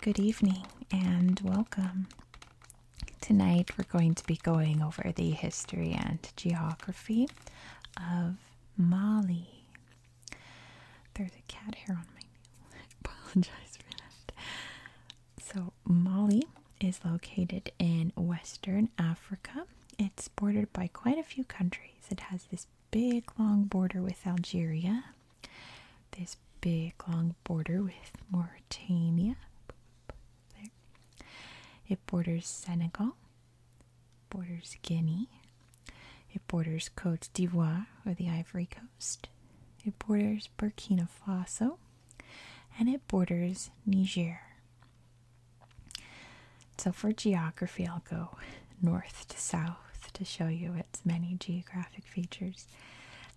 Good evening and welcome. Tonight we're going to be going over the history and geography of Mali. There's a cat hair on my apologize for that. So, Mali is located in Western Africa. It's bordered by quite a few countries. It has this big long border with Algeria, this big long border with Mauritania. There. It borders Senegal, borders Guinea, it borders Cote d'Ivoire or the Ivory Coast. It borders Burkina Faso and it borders Niger. So, for geography, I'll go north to south to show you its many geographic features.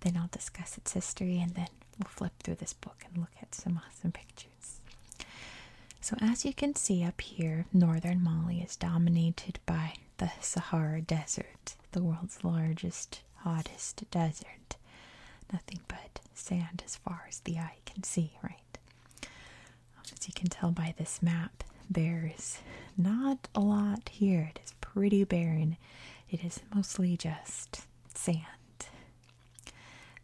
Then I'll discuss its history and then we'll flip through this book and look at some awesome pictures. So, as you can see up here, northern Mali is dominated by the Sahara Desert, the world's largest, hottest desert. Nothing but sand as far as the eye can see, right? As you can tell by this map, there's not a lot here. It is pretty barren. It is mostly just sand.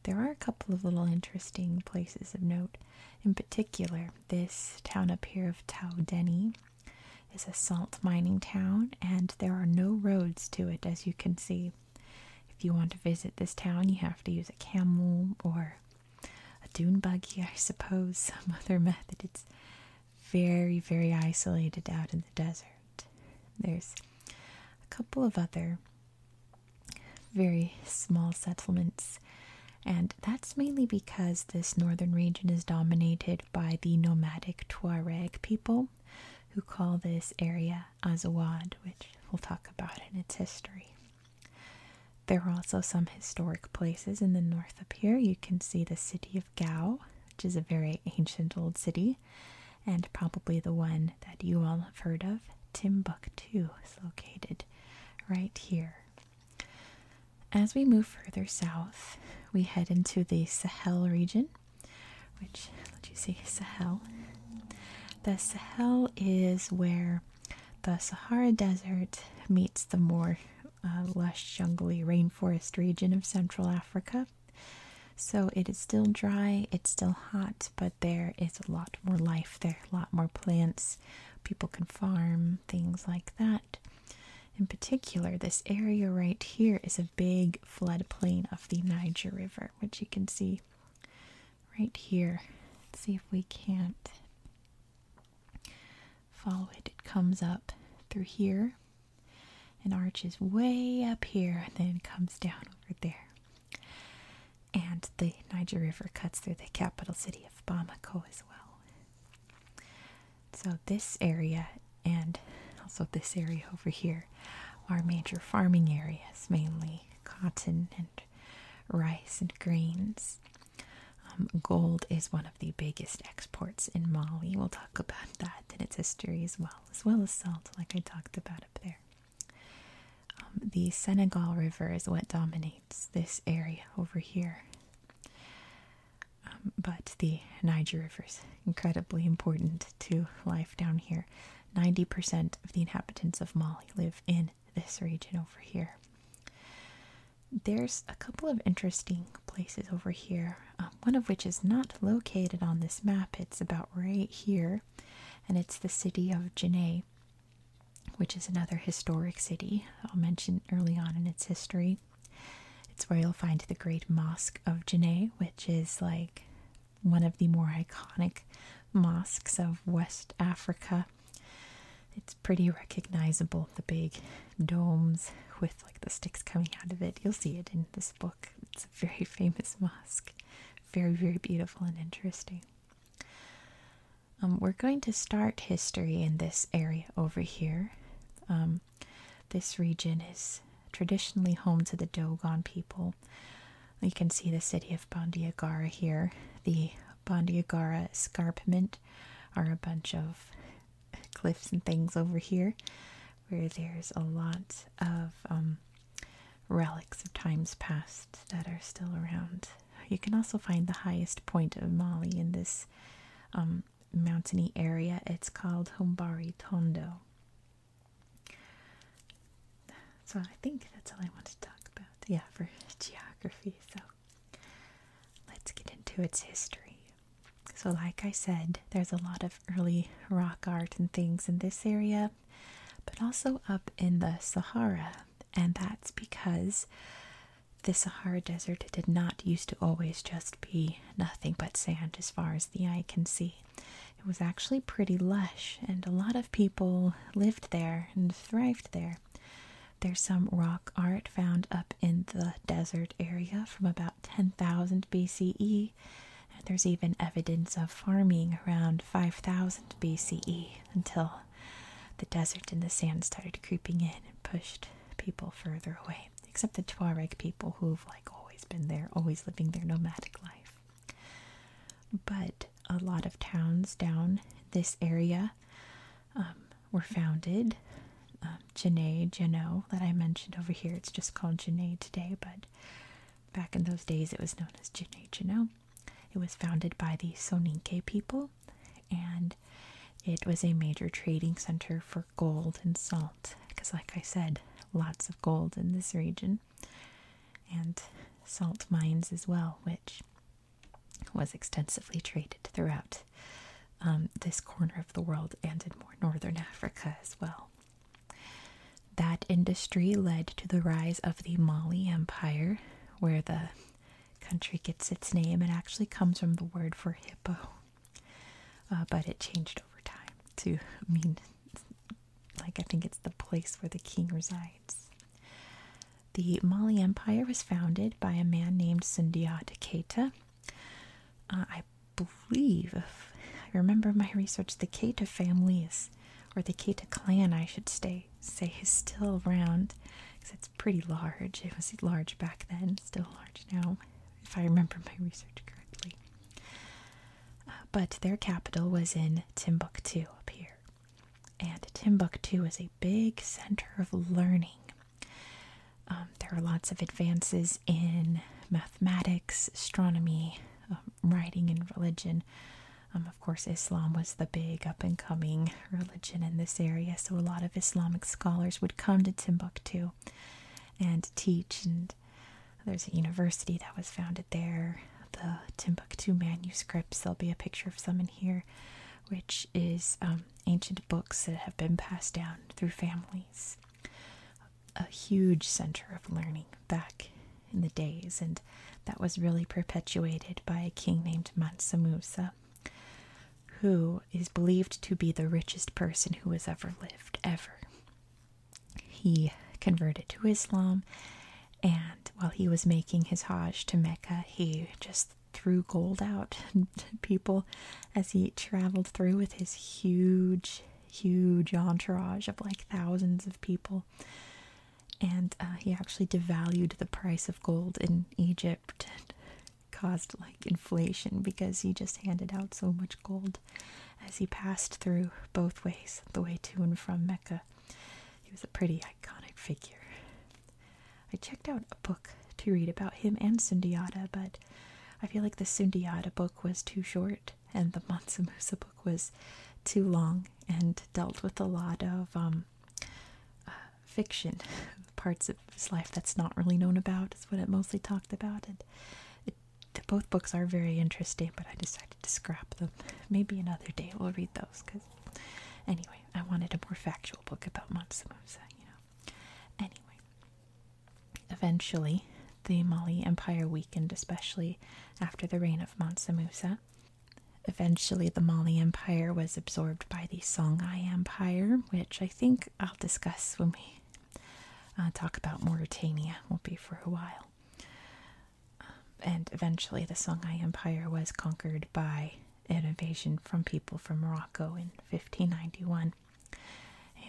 There are a couple of little interesting places of note. In particular, this town up here of Taudeni it's a salt mining town, and there are no roads to it, as you can see. If you want to visit this town, you have to use a camel or a dune buggy, I suppose, some other method. It's very, very isolated out in the desert. There's a couple of other very small settlements, and that's mainly because this northern region is dominated by the nomadic Tuareg people who call this area Azawad, which we'll talk about in its history. There are also some historic places in the north up here. You can see the city of Gao, which is a very ancient old city, and probably the one that you all have heard of, Timbuktu, is located right here. As we move further south, we head into the Sahel region, which let you see Sahel. The Sahel is where the Sahara Desert meets the more uh, lush, jungly rainforest region of Central Africa. So it is still dry, it's still hot, but there is a lot more life there, a lot more plants. People can farm, things like that. In particular, this area right here is a big floodplain of the Niger River, which you can see right here. see if we can't follow it. It comes up through here and arches way up here and then comes down over there. And the Niger River cuts through the capital city of Bamako as well. So, this area and also this area over here are major farming areas, mainly cotton and rice and grains. Um, gold is one of the biggest exports in Mali. We'll talk about that and its history as well, as well as salt, like I talked about up there. Um, the Senegal River is what dominates this area over here. Um, but the Niger River is incredibly important to life down here. 90% of the inhabitants of Mali live in this region over here. There's a couple of interesting places over here, um, one of which is not located on this map. It's about right here, and it's the city of Jene, which is another historic city I'll mention early on in its history. It's where you'll find the Great Mosque of Janae, which is like one of the more iconic mosques of West Africa. It's pretty recognizable, the big domes with like the sticks coming out of it. You'll see it in this book. It's a very famous mosque. Very, very beautiful and interesting. Um, we're going to start history in this area over here. Um, this region is traditionally home to the Dogon people. You can see the city of Bandiagara here. The Bandiagara escarpment are a bunch of cliffs and things over here where there's a lot of um, relics of times past that are still around. You can also find the highest point of Mali in this um, mountainy area. It's called Hombari Tondo. So I think that's all I want to talk about. Yeah, for geography. So let's get into its history. So, like I said, there's a lot of early rock art and things in this area, but also up in the Sahara. And that's because the Sahara Desert did not used to always just be nothing but sand as far as the eye can see. It was actually pretty lush, and a lot of people lived there and thrived there. There's some rock art found up in the desert area from about 10,000 BCE, and there's even evidence of farming around 5,000 BCE until the desert and the sand started creeping in and pushed people further away except the Tuareg people who've like always been there, always living their nomadic life. But a lot of towns down this area um, were founded. Um, Jene, that I mentioned over here, it's just called Jene today, but back in those days it was known as Jene, Jeno. It was founded by the Soninke people, and it was a major trading center for gold and salt because, like I said, lots of gold in this region and salt mines as well, which was extensively traded throughout um, this corner of the world and in more northern Africa as well. That industry led to the rise of the Mali Empire, where the country gets its name. It actually comes from the word for hippo, uh, but it changed over time to mean, like, I think it's the place where the king resides. The Mali Empire was founded by a man named Sundiata Keita. Uh, I believe, if I remember my research, the Keita family or the Keita clan, I should say, is still around because it's pretty large. It was large back then, still large now, if I remember my research correctly. Uh, but their capital was in Timbuktu up here. And Timbuktu was a big center of learning. Um, there are lots of advances in mathematics, astronomy, um, writing, and religion. Um, of course, Islam was the big up and coming religion in this area, so a lot of Islamic scholars would come to Timbuktu and teach. And there's a university that was founded there. The Timbuktu manuscripts. There'll be a picture of some in here, which is um, ancient books that have been passed down through families. A huge center of learning back in the days, and that was really perpetuated by a king named Mansa Musa who is believed to be the richest person who has ever lived, ever. He converted to Islam, and while he was making his Hajj to Mecca, he just threw gold out to people as he traveled through with his huge, huge entourage of like thousands of people. And uh, he actually devalued the price of gold in Egypt caused like inflation because he just handed out so much gold as he passed through both ways, the way to and from Mecca. He was a pretty iconic figure. I checked out a book to read about him and Sundiata, but I feel like the Sundiata book was too short and the Mansa Musa book was too long and dealt with a lot of um, uh, fiction, parts of his life that's not really known about is what it mostly talked about. And both books are very interesting, but I decided to scrap them. Maybe another day we'll read those. Cause anyway, I wanted a more factual book about Mansa-Musa, you know. Anyway, eventually, the Mali Empire weakened, especially after the reign of Mansa-Musa. Eventually, the Mali Empire was absorbed by the Songhai Empire, which I think I'll discuss when we uh, talk about Mauritania. Won't be for a while. Um, and eventually, the Songhai Empire was conquered by an invasion from people from Morocco in 1591,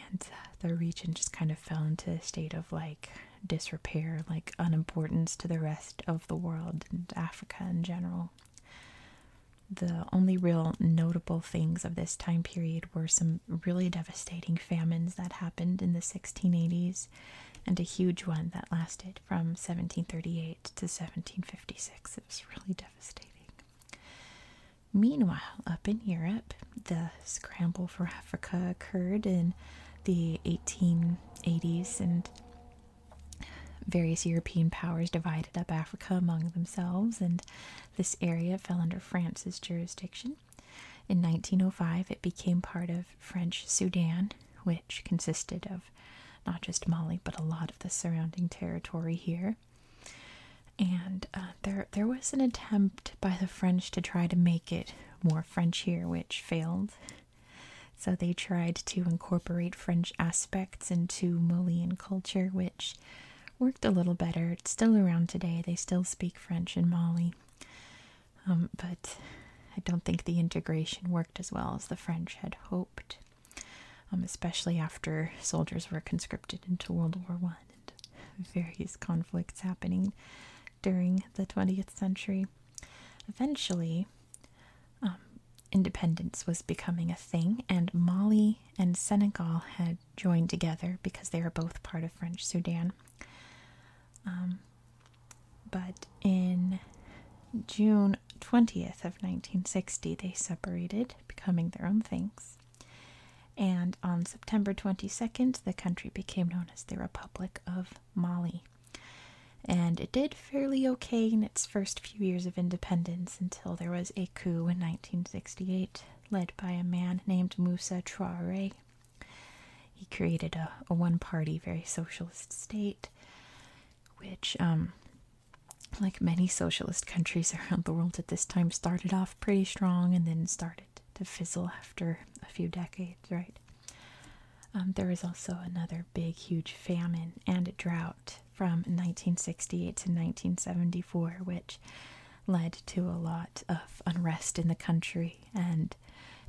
and uh, the region just kind of fell into a state of like disrepair, like unimportance to the rest of the world and Africa in general. The only real notable things of this time period were some really devastating famines that happened in the 1680s and a huge one that lasted from 1738 to 1756. It was really devastating. Meanwhile, up in Europe, the scramble for Africa occurred in the 1880s and various European powers divided up Africa among themselves, and this area fell under France's jurisdiction. In 1905, it became part of French Sudan, which consisted of not just Mali, but a lot of the surrounding territory here. And uh, there, there was an attempt by the French to try to make it more French here, which failed. So they tried to incorporate French aspects into Malian culture, which worked a little better. It's still around today. They still speak French in Mali. Um, but I don't think the integration worked as well as the French had hoped, um, especially after soldiers were conscripted into World War One and various conflicts happening during the 20th century. Eventually, um, independence was becoming a thing, and Mali and Senegal had joined together because they were both part of French Sudan. Um, but in June 20th of 1960, they separated, becoming their own things. And on September 22nd, the country became known as the Republic of Mali. And it did fairly okay in its first few years of independence until there was a coup in 1968 led by a man named Moussa Traoré. He created a, one party, very socialist state, which, um, like many socialist countries around the world at this time, started off pretty strong and then started to fizzle after a few decades, right? Um, there was also another big, huge famine and drought from 1968 to 1974, which led to a lot of unrest in the country and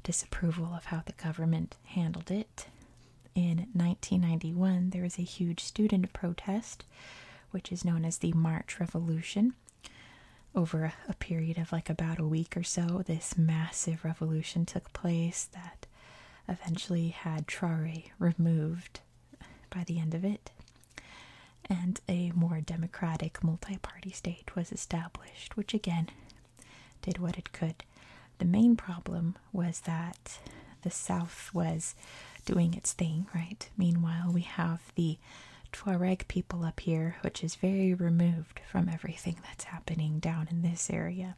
disapproval of how the government handled it. In 1991, there was a huge student protest, which is known as the March Revolution. Over a period of like about a week or so, this massive revolution took place that eventually had Traore removed by the end of it, and a more democratic multi party state was established, which again did what it could. The main problem was that the South was doing its thing, right? Meanwhile, we have the Tuareg people up here, which is very removed from everything that's happening down in this area,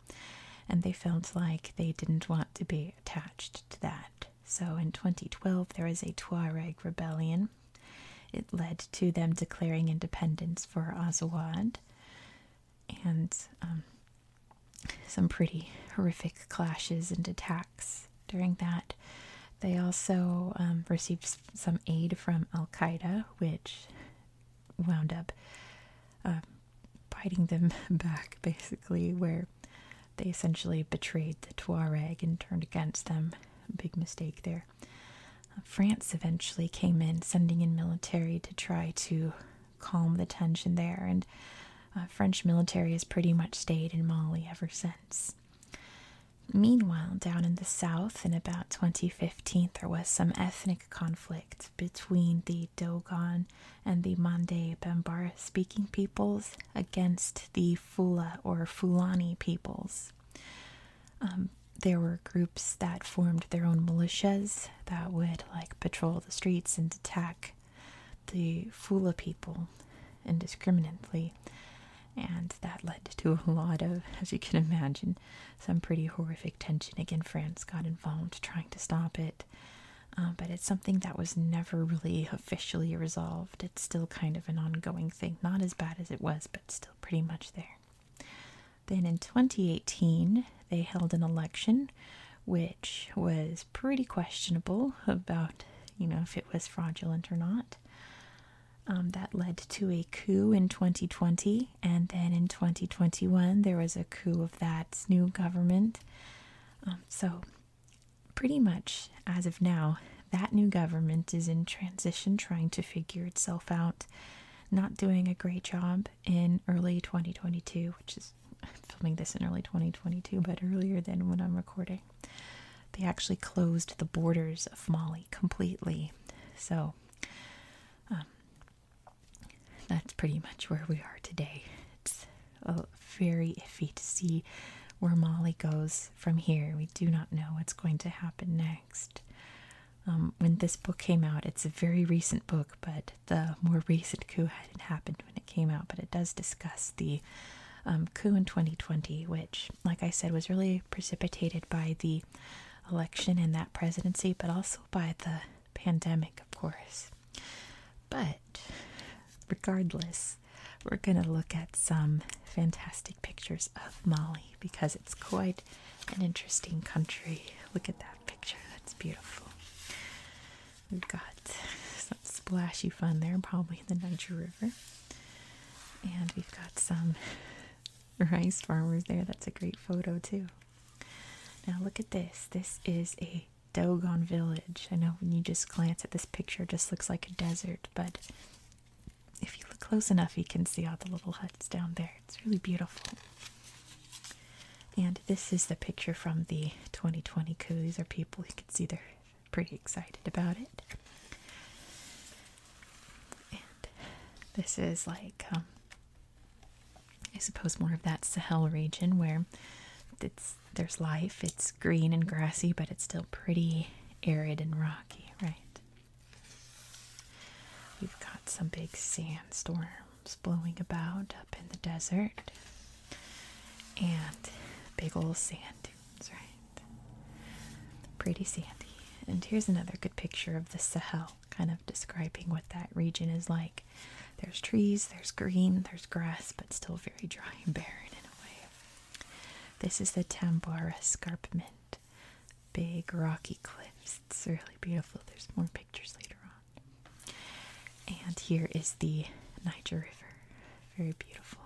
and they felt like they didn't want to be attached to that. So in 2012, there was a Tuareg rebellion. It led to them declaring independence for Azawad. And um, some pretty horrific clashes and attacks during that. They also um, received some aid from Al Qaeda, which wound up uh, biting them back, basically, where they essentially betrayed the Tuareg and turned against them. Big mistake there. Uh, France eventually came in, sending in military to try to calm the tension there, and uh, French military has pretty much stayed in Mali ever since. Meanwhile, down in the south, in about 2015, there was some ethnic conflict between the Dogon and the Mande Bambara speaking peoples against the Fula or Fulani peoples. Um, there were groups that formed their own militias that would like patrol the streets and attack the Fula people indiscriminately. And that led to a lot of, as you can imagine, some pretty horrific tension. Again, France got involved trying to stop it. Uh, but it's something that was never really officially resolved. It's still kind of an ongoing thing. Not as bad as it was, but still pretty much there. Then in 2018, they held an election which was pretty questionable about, you know, if it was fraudulent or not. Um, that led to a coup in 2020, and then in 2021, there was a coup of that new government. Um, so Pretty much as of now, that new government is in transition trying to figure itself out, not doing a great job in early 2022, which is filming this in early 2022, but earlier than when I'm recording. They actually closed the borders of Mali completely. So, um, that's pretty much where we are today. It's very iffy to see where Molly goes from here. We do not know what's going to happen next. Um, when this book came out, it's a very recent book, but the more recent coup hadn't happened when it came out. But it does discuss the um, coup in 2020, which, like I said, was really precipitated by the election and that presidency, but also by the pandemic, of course. But regardless, we're going to look at some fantastic pictures of Mali because it's quite an interesting country. Look at that picture, that's beautiful. We've got some splashy fun there, probably in the Niger River. And we've got some rice farmers there. That's a great photo, too. Now, look at this. This is a Dogon Village. I know when you just glance at this picture, it just looks like a desert, but if you look close enough, you can see all the little huts down there. It's really beautiful. And this is the picture from the 2020 coup. These are people you can see they're pretty excited about it. And this is like, um, I suppose, more of that Sahel region where it's there's life. It's green and grassy, but it's still pretty arid and rocky, right? you have got some big sandstorms blowing about up in the desert and big old sand dunes, right? Pretty sandy. And here's another good picture of the Sahel, kind of describing what that region is like. There's trees, there's green, there's grass, but still very dry and barren in a way. This is the Tambora Escarpment. Big rocky cliffs. It's really beautiful. There's more pictures later on. And here is the Niger River. Very beautiful.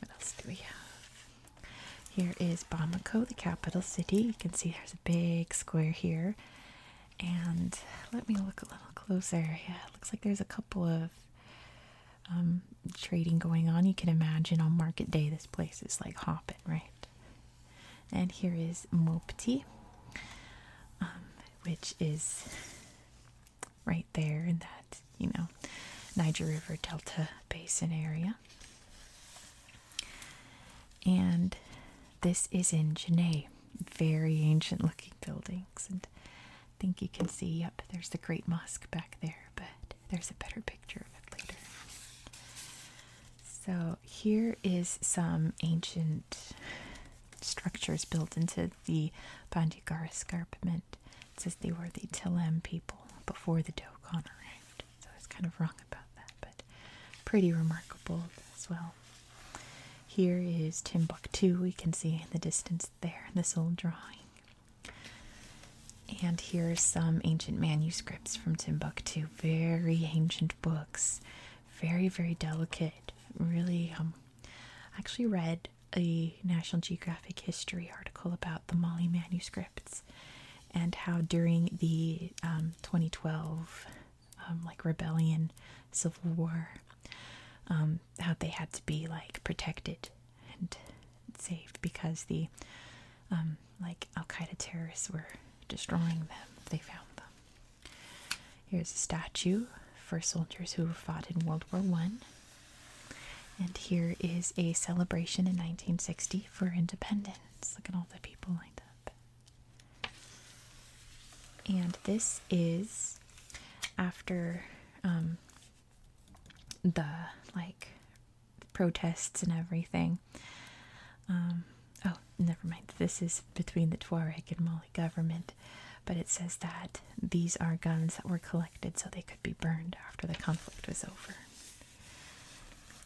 What else do we have? Here is Bamako, the capital city. You can see there's a big square here. And let me look a little closer. Yeah, it looks like there's a couple of um, trading going on. You can imagine on market day, this place is like hopping, right? And here is Mopti, um, which is right there in that, you know, Niger River Delta Basin area and this is in Genet. Very ancient looking buildings, and I think you can see, yep, there's the Great Mosque back there, but there's a better picture of it later. So, here is some ancient structures built into the Bandigar escarpment. It says they were the Telem people before the Dokon arrived, so I was kind of wrong about that, but pretty remarkable as well. Here is Timbuktu, we can see in the distance there, this old drawing. And here are some ancient manuscripts from Timbuktu, very ancient books, very, very delicate. Really, um, I actually read a National Geographic history article about the Mali manuscripts and how during the um, 2012 um, like rebellion, civil war, um, how they had to be like protected and saved because the um, like Al Qaeda terrorists were destroying them. They found them. Here's a statue for soldiers who fought in World War One. And here is a celebration in 1960 for independence. Look at all the people lined up. And this is after um, the like protests and everything. Um, oh, never mind. This is between the Tuareg and Mali government, but it says that these are guns that were collected so they could be burned after the conflict was over.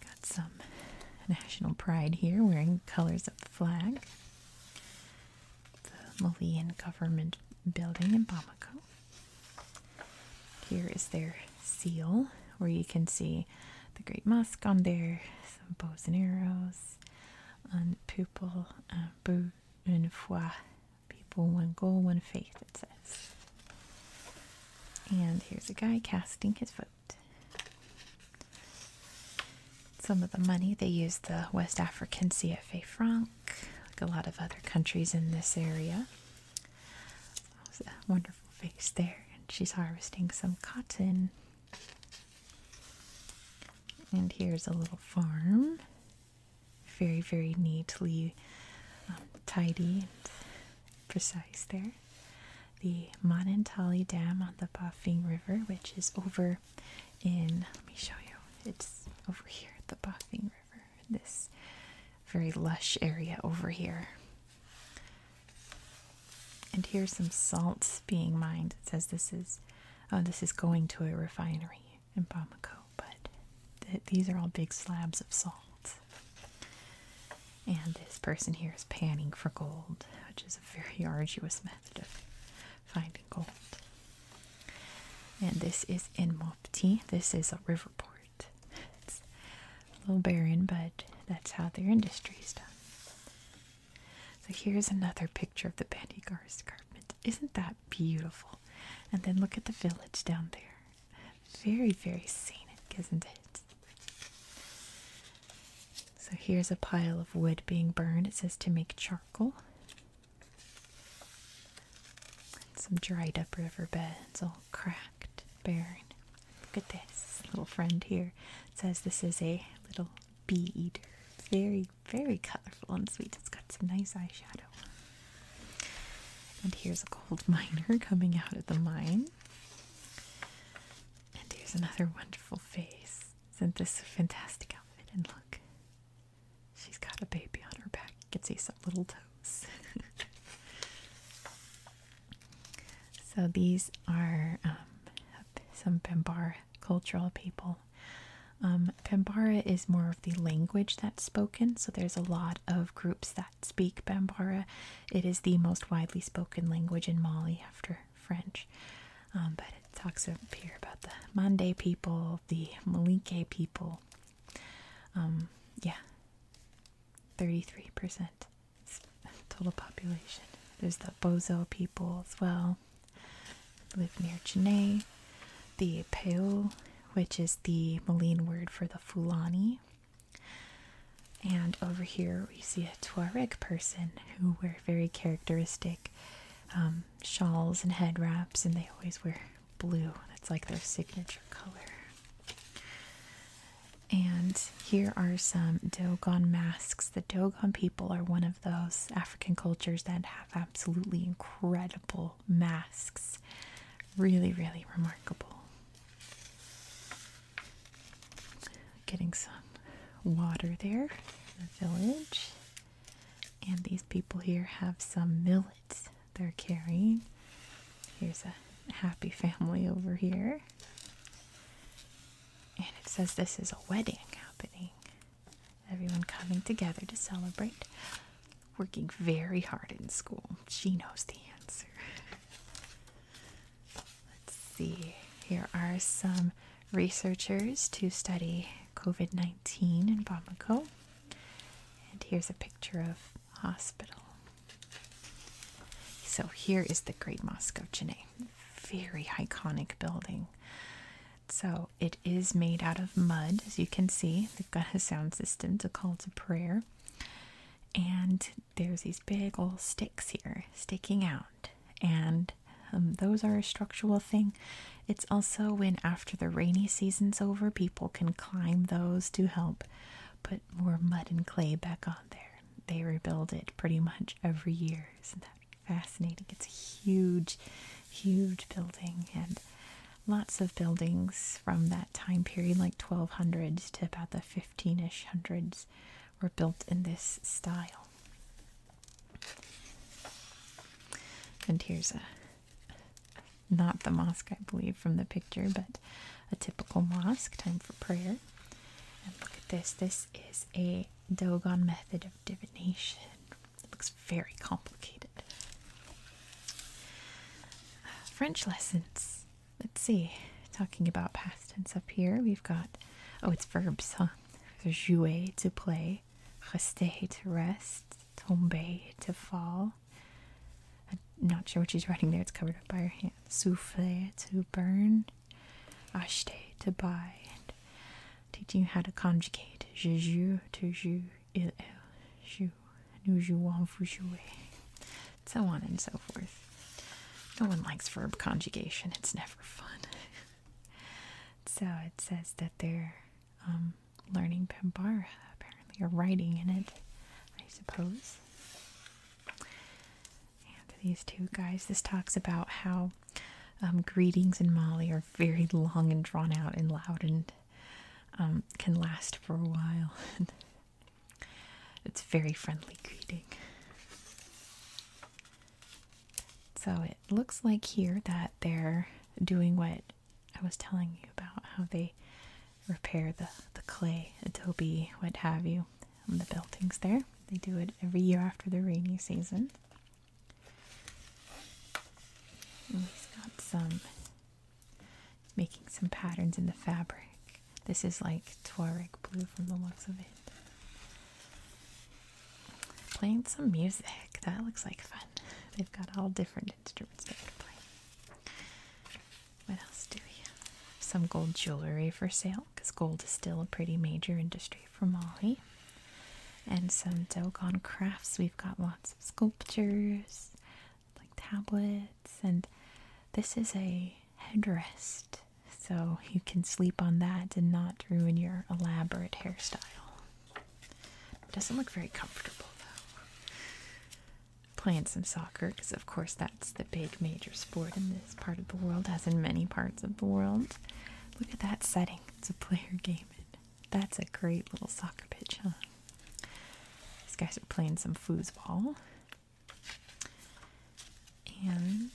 Got some national pride here wearing colors of the flag the Malian government building in Bamako. Here is their seal, where you can see the Great Mosque on there, some bows and arrows, and pupil, un uh, but, foi, people, one goal, one faith, it says. And here's a guy casting his vote. Some of the money they use the West African CFA franc, like a lot of other countries in this area. wonderful face there, and she's harvesting some cotton. And here's a little farm, very, very neatly um, tidy and precise there the Monantali Dam on the Baffin River, which is over in, let me show you, it's over here at the Baffin River, this very lush area over here. And here's some salts being mined. It says this is, oh, this is going to a refinery in Bamako, but these are all big slabs of salt. And this person here is panning for gold, which is a very arduous method finding gold. And this is in Mopti. This is a river port. It's a little barren, but that's how their industry is done. So here's another picture of the Bandigar garment. Isn't that beautiful? And then look at the village down there. Very, very scenic, isn't it? So here's a pile of wood being burned. It says to make charcoal. some dried up riverbeds, all cracked, barren. Look at this little friend here. It says this is a little bee eater. Very, very colorful and sweet. It's got some nice eyeshadow. And here's a gold miner coming out of the mine. And here's another wonderful face. Isn't this a fantastic outfit? And look, she's got a baby on her back. You can see some little toes. so these are um, some Bambara cultural people. Um, Bambara is more of the language that's spoken, so there's a lot of groups that speak Bambara. It is the most widely spoken language in Mali after French. Um, but it talks up here about the Mande people, the Malinke people. Um, yeah, 33% total population. There's the Bozo people as well, live near Chennai. The Peo, which is the Malin word for the Fulani. And over here we see Tuareg person who wear very characteristic um, shawls and head wraps, and they always wear blue. That's like their signature color. And here are some Dogon masks. The Dogon people are one of those African cultures that have absolutely incredible masks. Really, really remarkable. Getting some water there in the village. And these people here have some millets they're carrying. Here's a happy family over here. And it says this is a wedding happening. Everyone coming together to celebrate. Working very hard in school. She knows the answer. Let's see. Here are some researchers to study COVID 19 in Bamako. And here's a picture of hospital. So here is the Great Mosque of Janneh. Very iconic building. So it is made out of mud, as you can see. They've got a sound system to call to prayer. And there's these big old sticks here sticking out and um, those are a structural thing. It's also when, after the rainy season's over, people can climb those to help put more mud and clay back on there. They rebuild it pretty much every year. Isn't that fascinating? It's a huge, huge building, and lots of buildings from that time period, like 1200s to about the 15ish hundreds, were built in this style. And here's a not the mosque, I believe, from the picture, but a typical mosque, time for prayer. And look at this. This is a Dogon method of divination. It looks very complicated. French lessons. Let's see. Talking about past tense up here, we've got, oh, it's verbs, huh? jouer, to play, rester, to rest, tomber, to fall. I'm not sure what she's writing there, it's covered up by her hand. Souffler, to burn, acheter, to buy. teaching you how to conjugate. Je joue, tu joues, il, joue, nous jouons, vous jouez. So on and so forth. No one likes verb conjugation, it's never fun. so it says that they're um, learning Pambara, apparently, or writing in it, I suppose. And these two guys, this talks about how um, greetings in Mali are very long and drawn out and loud and um, can last for a while. it's very friendly greeting. So it looks like here that they're doing what I was telling you about how they repair the, the clay, adobe, what have you, on the buildings there. They do it every year after the rainy season. he's got some making some patterns in the fabric. This is like Tuareg blue from the looks of it. Playing some music. That looks like fun. They've got all different instruments they can play. What else do we have? Some gold jewelry for sale because gold is still a pretty major industry for Mali. And some Dogon crafts. We've got lots of sculptures, like tablets, and this is a headrest so you can sleep on that and not ruin your elaborate hairstyle. It doesn't look very comfortable though. Playing some soccer because, of course, that's the big major sport in this part of the world, as in many parts of the world. Look at that setting. It's a player game. That's a great little soccer pitch, huh? These guys are playing some foosball. And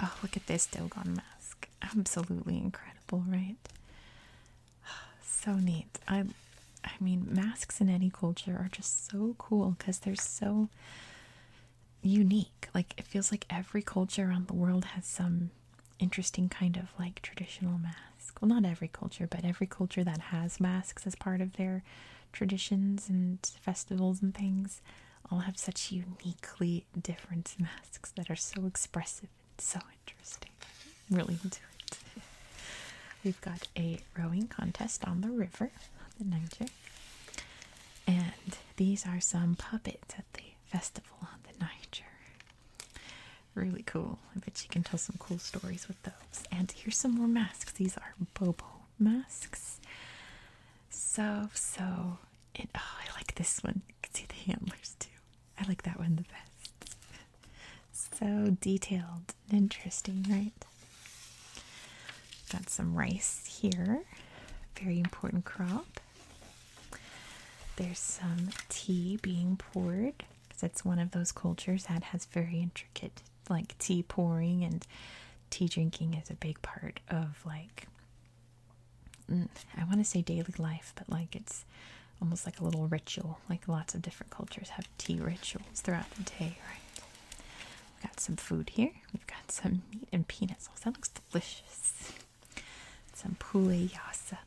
oh, look at this Dogon mask. Absolutely incredible, right? So neat. I I mean, masks in any culture are just so cool cuz they're so unique. Like it feels like every culture around the world has some interesting kind of like traditional mask. Well, not every culture, but every culture that has masks as part of their traditions and festivals and things all have such uniquely different masks that are so expressive and so interesting. really into it. We've got a rowing contest on the river, the Niger. And these are some puppets at the festival on the Niger. Really cool. I bet you can tell some cool stories with those. And here's some more masks. These are Bobo masks. So, so it. Oh, I like this one. You can see the handlers too. I like that one the best. so detailed and interesting, right? Got some rice here. Very important crop. There's some tea being poured because it's one of those cultures that has very intricate, like tea pouring and tea drinking is a big part of like mm, I want to say daily life, but like it's almost like a little ritual. Like lots of different cultures have tea rituals throughout the day, right? We've got some food here. We've got some meat and peanuts. sauce. Oh, that looks delicious. Some pule yasa.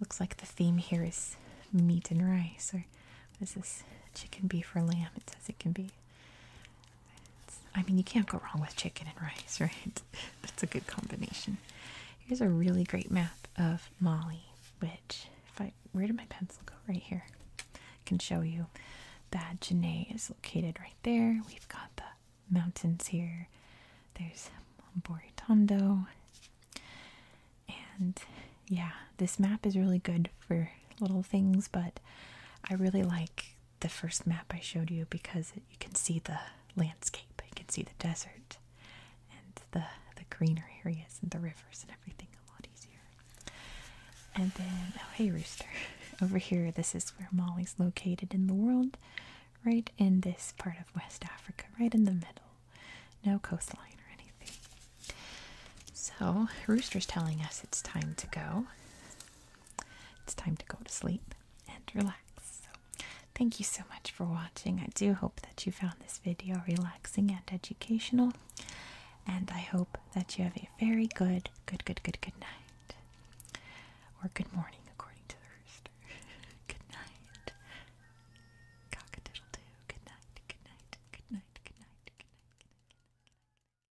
Looks like the theme here is meat and rice, or is this? Chicken, beef, or lamb? It says it can be. I mean, you can't go wrong with chicken and rice, right? That's a good combination. Here's a really great map of Mali, which, if I, where did my pencil go? Right here. I can show you that Janae is located right there. We've got the mountains here. There's Boritondo. And yeah, this map is really good for little things, but I really like the first map I showed you because you can see the landscape, you can see the desert and the the greener areas and the rivers and everything a lot easier. And then oh hey rooster. Over here this is where Molly's located in the world, right in this part of West Africa, right in the middle. No coastline or anything. So Rooster's telling us it's time to go it's time to go to sleep and relax. So, thank you so much for watching. I do hope that you found this video relaxing and educational. And I hope that you have a very good, good, good, good, good night. Or good morning, according to the rooster. good night. Cock Good night, good night, good night, good night, good night. Good night.